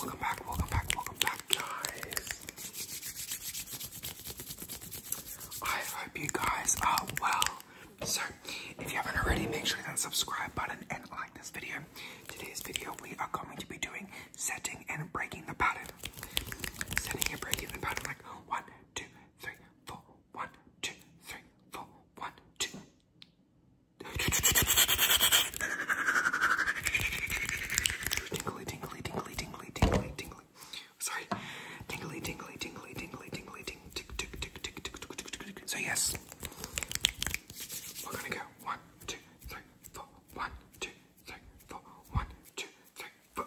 Welcome back, welcome back, welcome back, guys. I hope you guys are well. So, if you haven't already, make sure you hit that subscribe button and like this video. Today's video, we are going to be doing setting and breaking the pattern. Setting and breaking the pattern, like one, two, three, four, one, two, three, four, one, two. Tingly, tingly, tingly, tingly, tingly, tingly. Sorry. Tingly, tingly, tingly, tingly, tingly, ting, tick, So yes, we're gonna go one, two, three, four, one, two, three, four, one, two, three, four.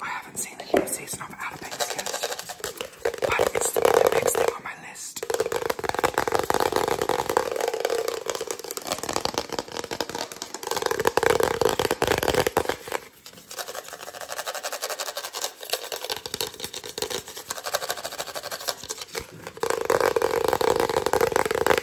I haven't seen the new season of Outer Banks yet, but it's the next thing on my list.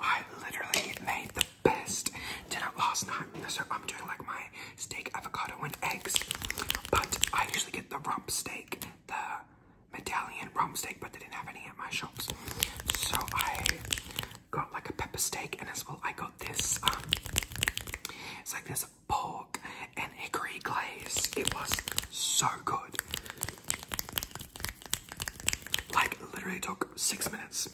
I literally made the best dinner last night. So I'm doing like my steak, avocado, and eggs. But I usually get the rump steak, the medallion rump steak, but they didn't have any at my shops. So I got like a pepper steak, and as well I got this. Um, it's like this pork and hickory glaze. It was so good. Like literally took six minutes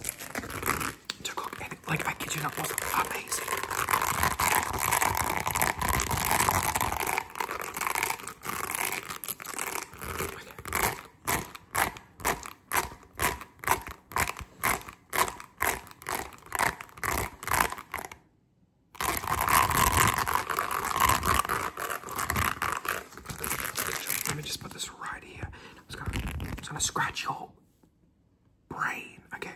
to cook, and like I kid you not, was amazing. Let me just put this right here. It's gonna, scratch your brain. Okay.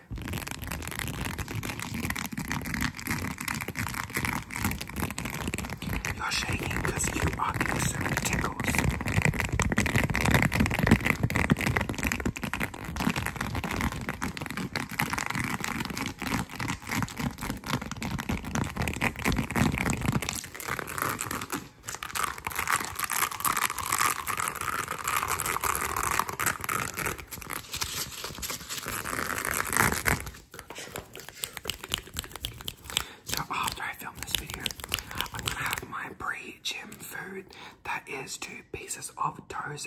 You're shaking you are getting tickles. So after I film this video, I'm gonna have my pre-gym food that is two pieces of toast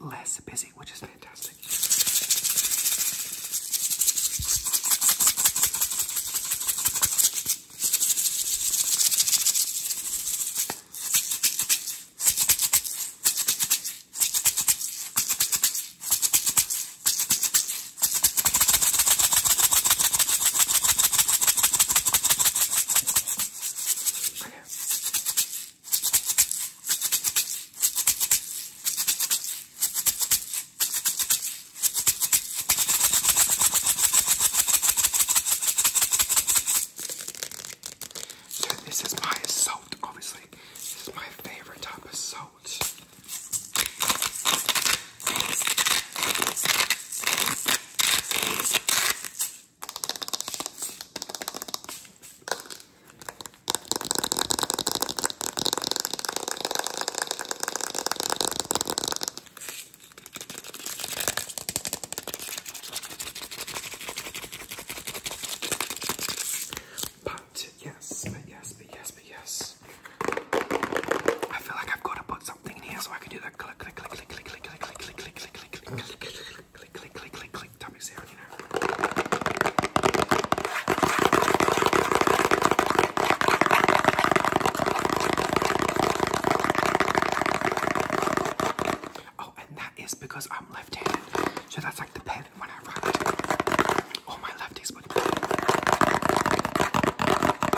less busy, which is fantastic. So this is my salt, obviously. This is my favorite type of salt. But yes, but yes, but yes, but yes. I feel like I've got to put something in here so I can do that click click click click click click click click click click click click click click click click click click click tummy sound, you know. Oh, and that is because I'm left-handed. So that's like the pen when I write. All my lefties would.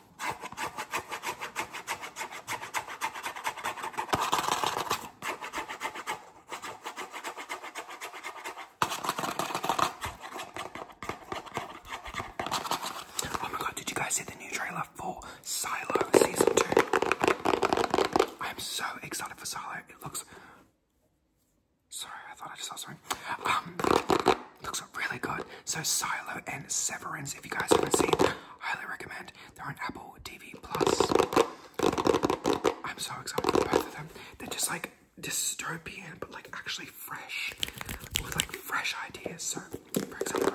Oh my god, did you guys see the new trailer for Silo Season 2? I am so excited for Silo. It looks. Sorry, I thought I just saw something. Um, Looks really good. So Silo and Severance, if you guys haven't seen, highly recommend. They're on Apple TV Plus. I'm so excited for both of them. They're just like dystopian, but like actually fresh, with like fresh ideas. So, for example,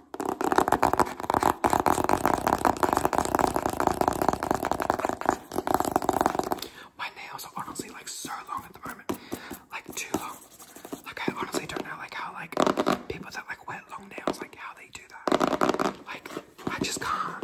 My nails are honestly like so long at the moment, like too long. Like I honestly don't know like how like people that like wear long nails like how they do that. Like I just can't.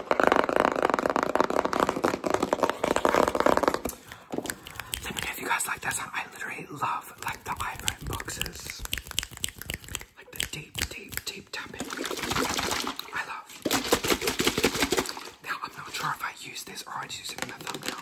Let me know if you guys like that I literally love like the iPhone boxes. Like the deep, deep, deep tapping. I love. Now I'm not sure if I use this or I just use it in the thumbnail. I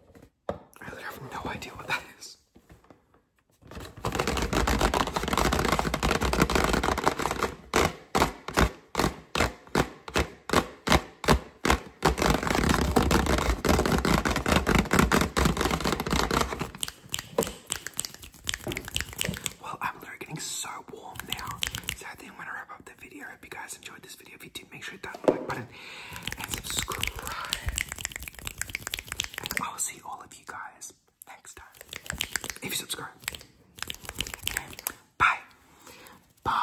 I have no idea what that is. Well, I'm literally getting so warm now. So I think I'm gonna wrap up the video. hope you guys enjoyed this video. If you did, make sure to hit that like button and subscribe. I will see all of you guys next time. If you subscribe. Bye. Bye.